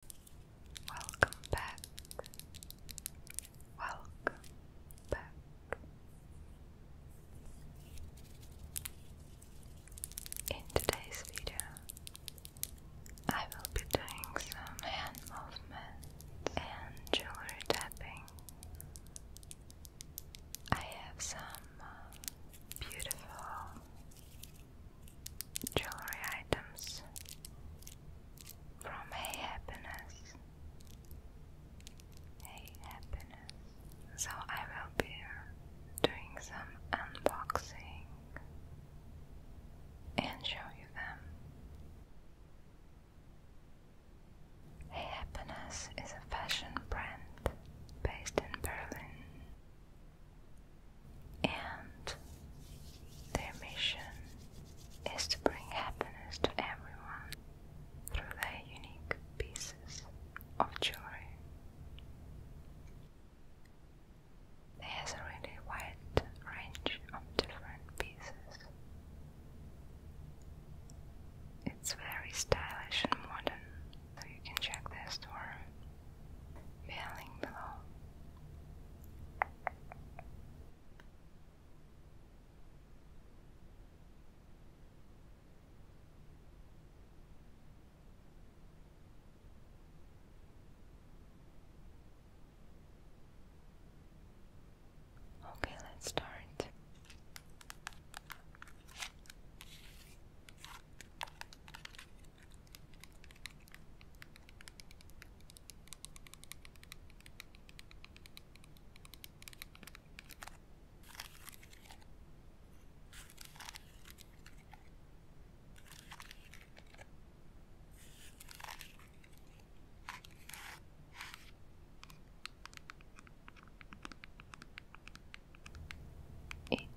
Welcome back. Welcome back. In today's video, I will be doing some hand movements and jewelry tapping. I have some uh, beautiful jewelry items from Hey Happiness. Hey Happiness. So I will be doing some unboxing and show you them. Hey Happiness is a fashion brand based in Berlin and their mission is to bring happiness to everyone through their unique pieces of jewelry. There's a really wide range of different pieces. It's very stylish and modern, so you can check their store feeling below. Okay, let's start.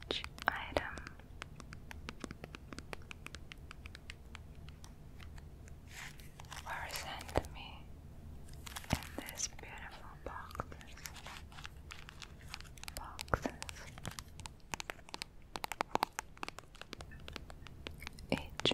Each item were sent to me in these beautiful boxes. Boxes. Each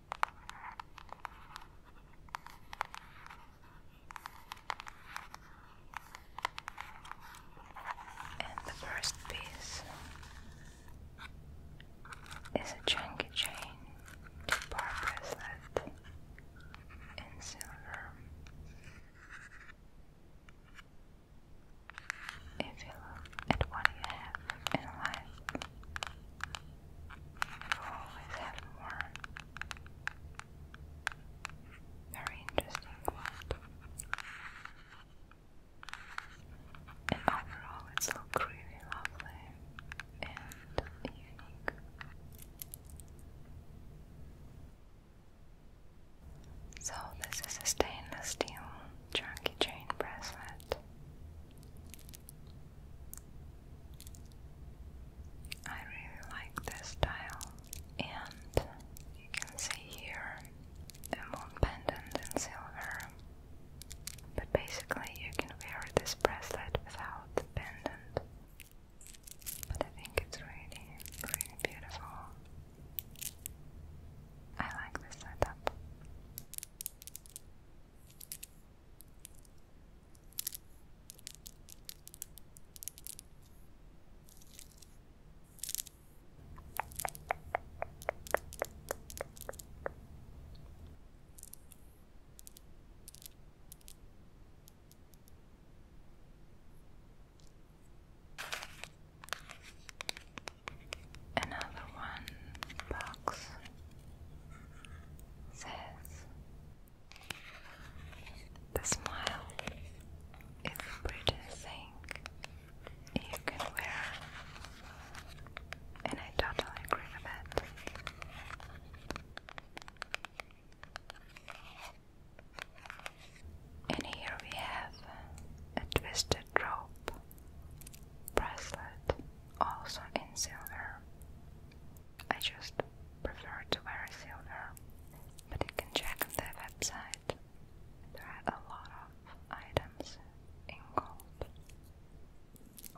And the first piece is a chunky chain to purpose in silver. If you look at what you have in life, always have more. Very interesting And overall, it's look really lovely and unique. So, this is a stainless steel chunky chain bracelet. I really like this style, and you can see here a moon pendant in silver. But basically, you can wear this bracelet without the pendant. But I think it's really, really beautiful. I like this setup. Another one box says the smile is a prettiest thing you can wear, and I totally agree with that. And here we have a twisted rope bracelet, also in silver. I just prefer to wear silver, but you can check on their website. There are a lot of items in gold.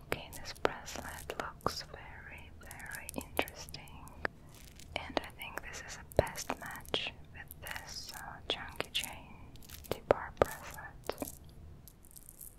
Okay, this bracelet looks very, very interesting, and I think this is a best match with this uh, chunky chain T-bar bracelet.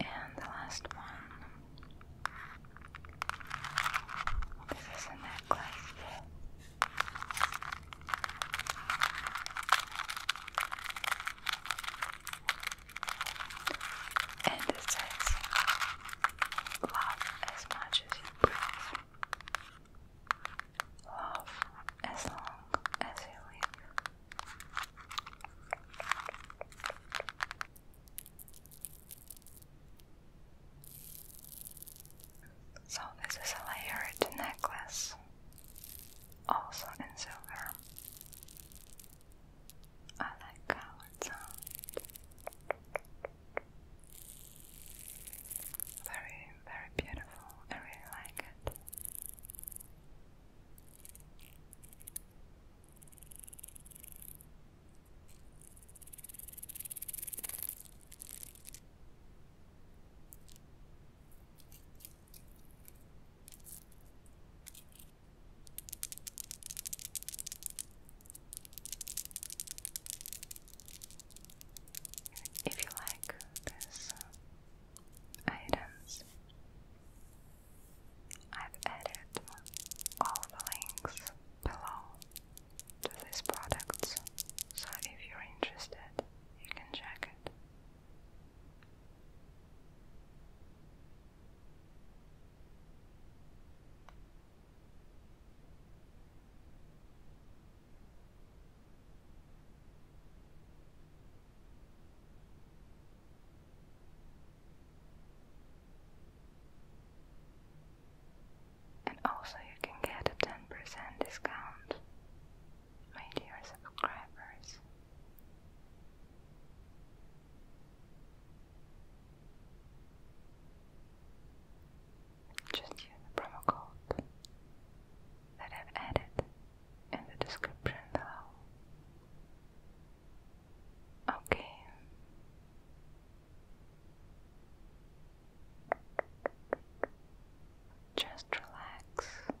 And the last one. This is a necklace. And it Love as much as you breathe. Love as long as you live. So, this is a layered necklace, also in silver. I like how it sounds. Very, very beautiful. I really like it. If you like these um, items, I've added all the links below to these products, so if you're interested, you can check it. And also, you can get a 10% discount, my dear subscribers. Just use the promo code that I've added in the description below. Okay. Just relax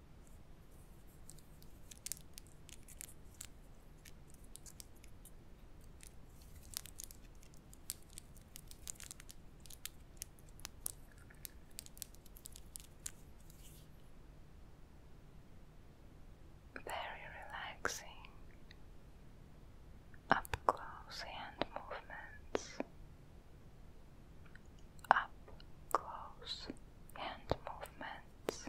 Very relaxing up close hand movements. Up close hand movements.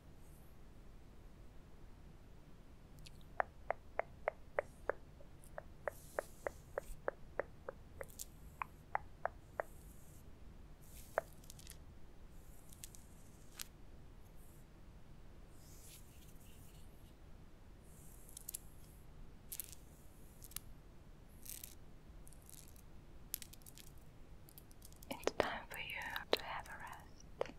It's time for you to have a rest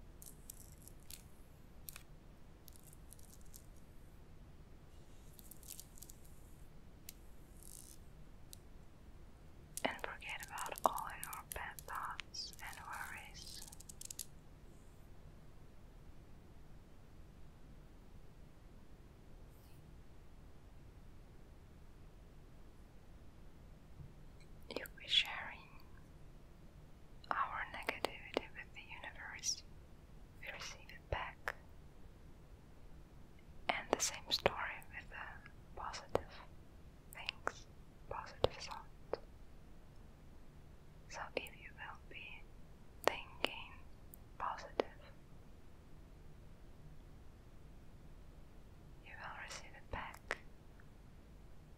and forget about all your bad thoughts and worries. You will be sharing our negativity with the universe, we receive it back. And the same story with the positive things, positive thoughts. So if you will be thinking positive, you will receive it back.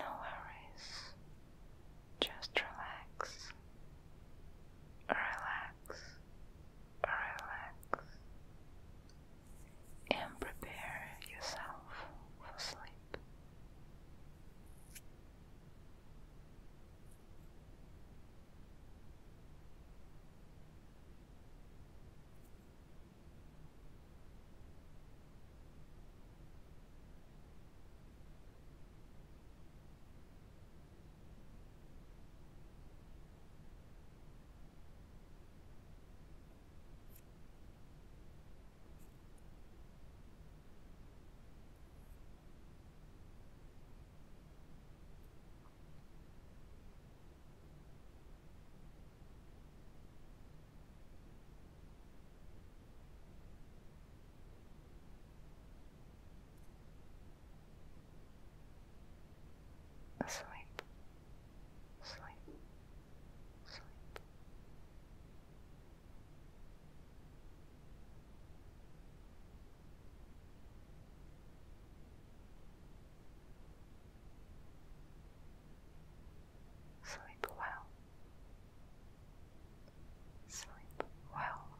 No worries, just relax, relax, relax, and prepare yourself for sleep asleep sleep, sleep. Sleep well. Sleep well.